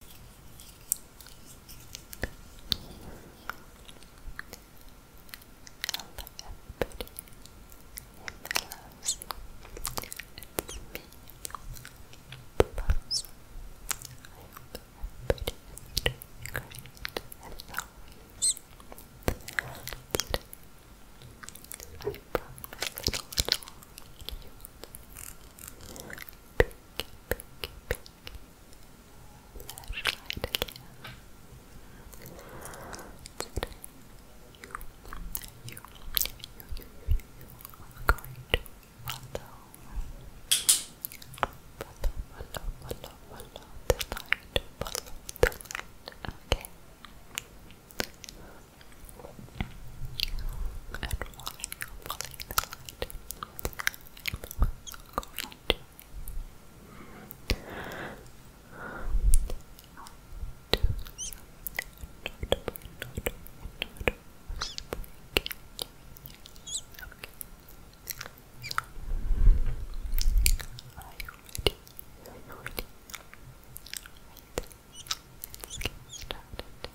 everybody. Loves you. It's me, Plus. I hope everybody is doing great as always. Today, I brought my little, little cute Pinky, pinky, pinky. Flashlight again. Today, you, you, you, you, you, you are going to follow, follow, follow, follow, follow the light, follow the light, okay? And falling, falling in the light. I was going to. Do some notable, notable, notable speaking. Yes, okay. So, are you ready? Are you ready? Right. Let's get started.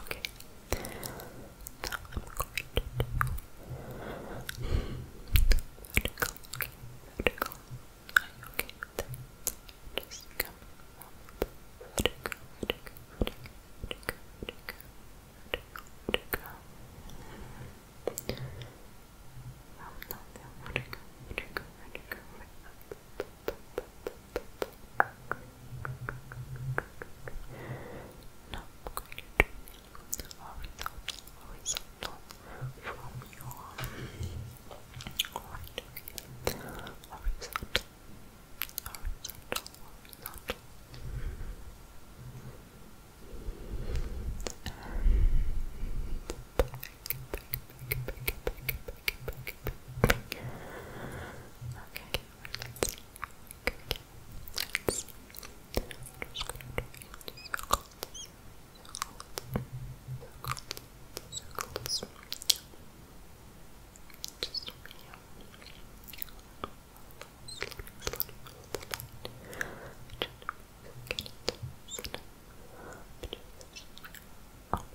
Okay. vertical. vertical. you Vertical, vertical, vertical, vertical, vertical, Vertical, vertical, vertical, vertical. Now I'm going to do horizontal, horizontal from your right okay. Horizontal, horizontal, horizontal. And back, back, back, back, back, back, back, back. Okay. Let's just going to circle this, circle this, circle this, circle this. Just over here. Slowly, slowly, slowly. Just get it. Sit up. Just up.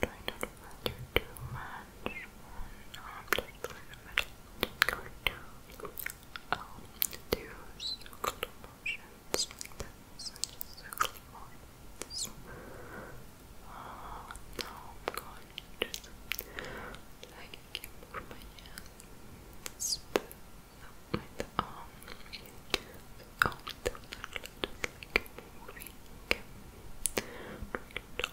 Try not to wander too much. One object in the middle. Going to I'll do circle motions like this. And just circle motions. Uh, I'm going to just like I can move my hands. With the arm, the arm doesn't look like moving. Try to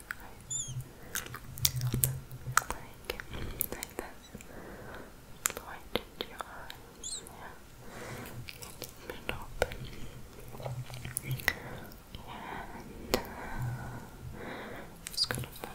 like, like that. Light your eyes, yeah. open. And uh, just gonna put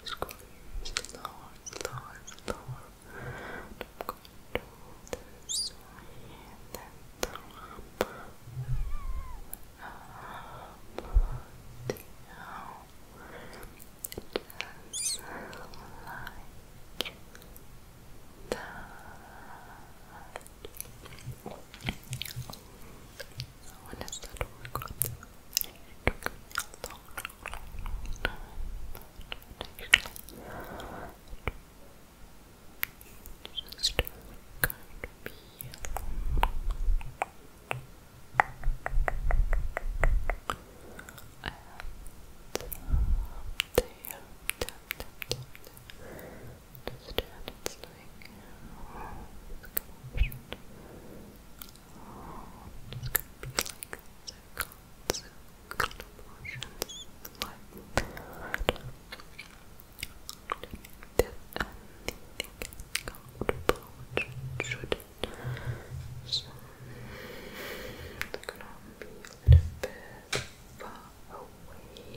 just going slower, slower, slower. I'm going to do this way and then up, up, down, just like that. Just kind of be and there, tap, tap, tap, tap. Just it's like, oh, it's gonna be like circles, circle motions, like that. Did anything comfortable which it should it's gonna be a bit far away. That.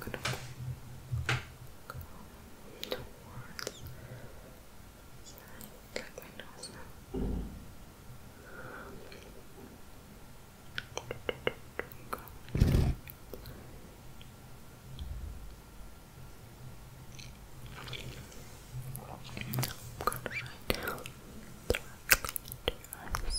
gonna go my nose now. I'm gonna write down directly into your eyes like this.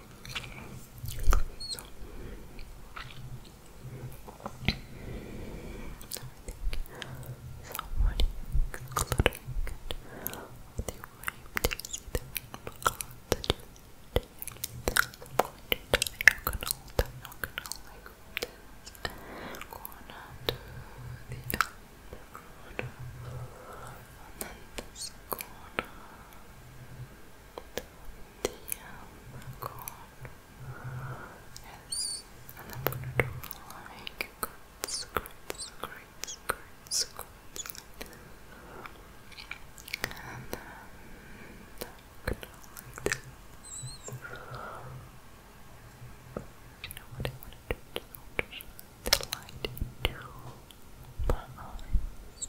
So. I think somebody cluttering it with your way to see the rainbow cloud that you're taking. going to diagonal, like this. Corner to the other And then this corner unicorn is an abnormal like scratch, scratch, scratch, scratch and then um, like this you know what I want to do? the light into my eyes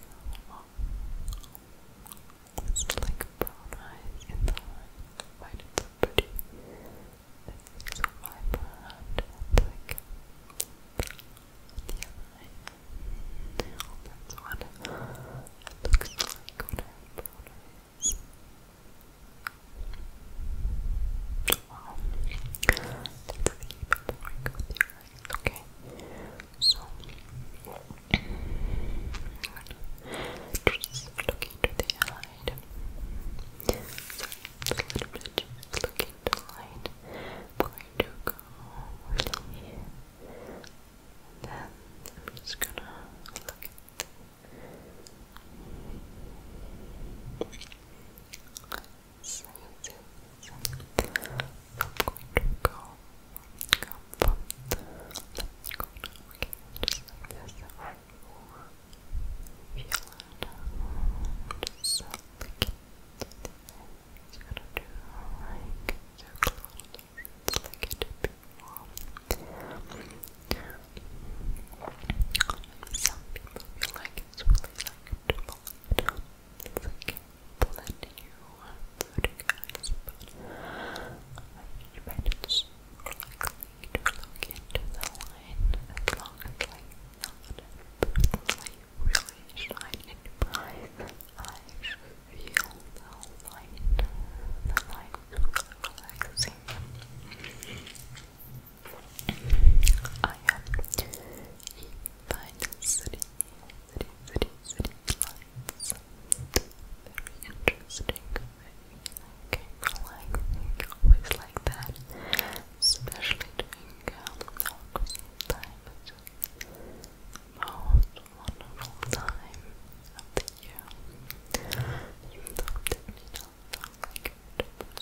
it's like brown eyes in the heart. Why so pretty? It's so vibrant and like the other eye. it looks like when I have brown eyes okay so I'm to the light just a little bit just look into the light i to go then I'm just gonna look at to go comfort. Let's go now. just like this. it it's gonna do like so close. It's like it Some people feel like it's really like it's you plenty of food, guys, but I recommend it's likely to look into the line as long as, really shine in price. I feel the light, the light relaxing. I am by city, city, city lights. Very interesting. I can like always like that, especially during um, Christmas time. It's the most wonderful time of the year. Even though it not like it at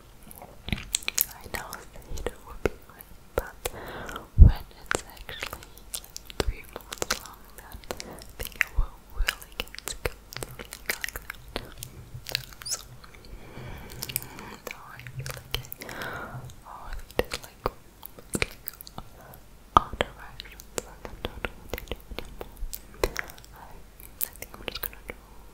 I know Theta would be right, but when it's actually three months long, then I think I will really get to go through like that. So, no, I feel like I already did like, like all I'm not what they do anymore. I think I'm just gonna do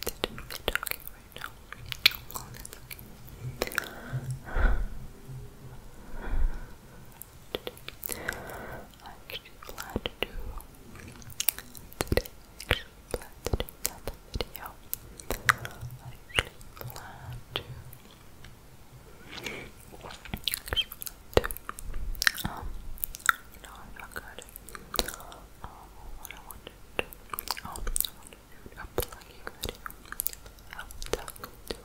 that we i actually glad to do Actually glad to do that video. I actually glad to actually glad um no I'm not good. Um what I wanted to oh I wanted a plugging I will talk to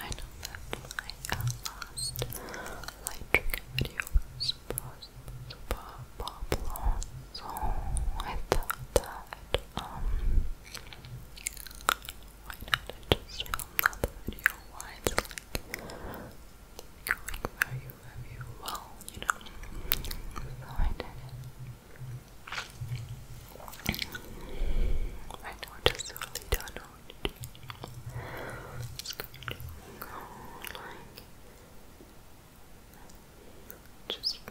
I know that my uh, last light trigger video was so I thought that, um, why not I film another video while it's like going very love you well, you know. I did it. My daughter slowly done on It's going Just uh,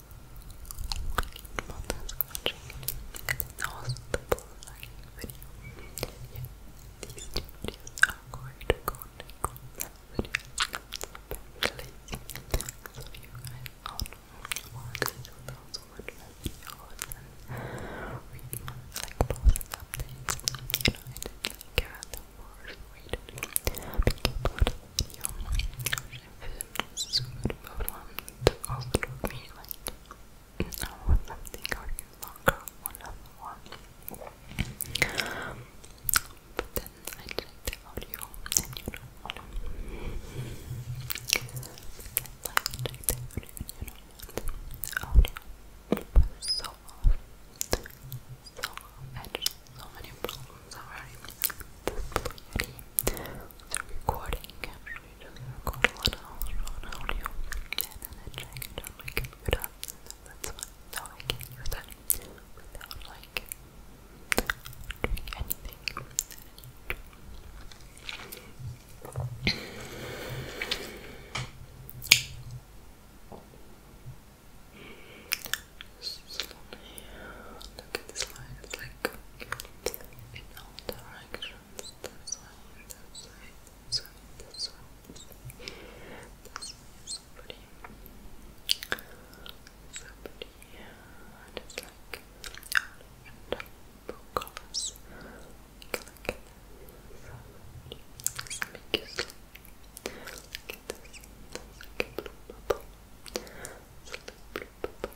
Well done scratching. That was the full line video. Yeah, these two videos are going to go next one video. It's very lazy. So you guys all know what to do those wordless videos and read my like post updates. You know, I did like a the worst way to do it. But keep out of the video food problems also took me like an hour or something or even one hour um, But then I checked the audio and you know what? I checked the audio and you know what? The audio was so off. So off. I so many problems already. The fluidity the recording actually just record one hour on audio and then I check it on my that's why now I can use that without like doing anything look at this line, it's like in all directions, this way, this way, this way, this way, this way, this way is pretty, so pretty, and it's like, and colors, like, like, so pretty, so make you sleep, like this, it's like a blue bubble, it's like a blue bubble,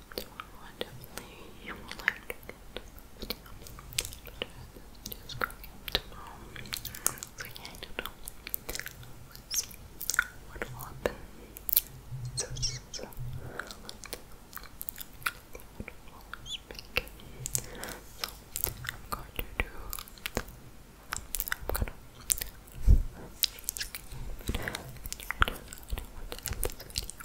what you would like to get just going up tomorrow. So yeah, I don't know. Let's see what will happen. So, so, so. Let's so I'm going to do I'm gonna I don't want to end this video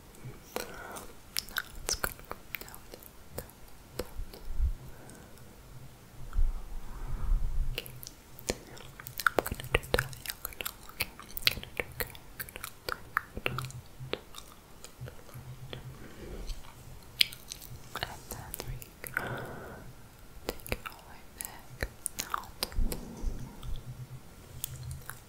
Now it's I'm gonna do that I'm gonna do that And then we take it all the way back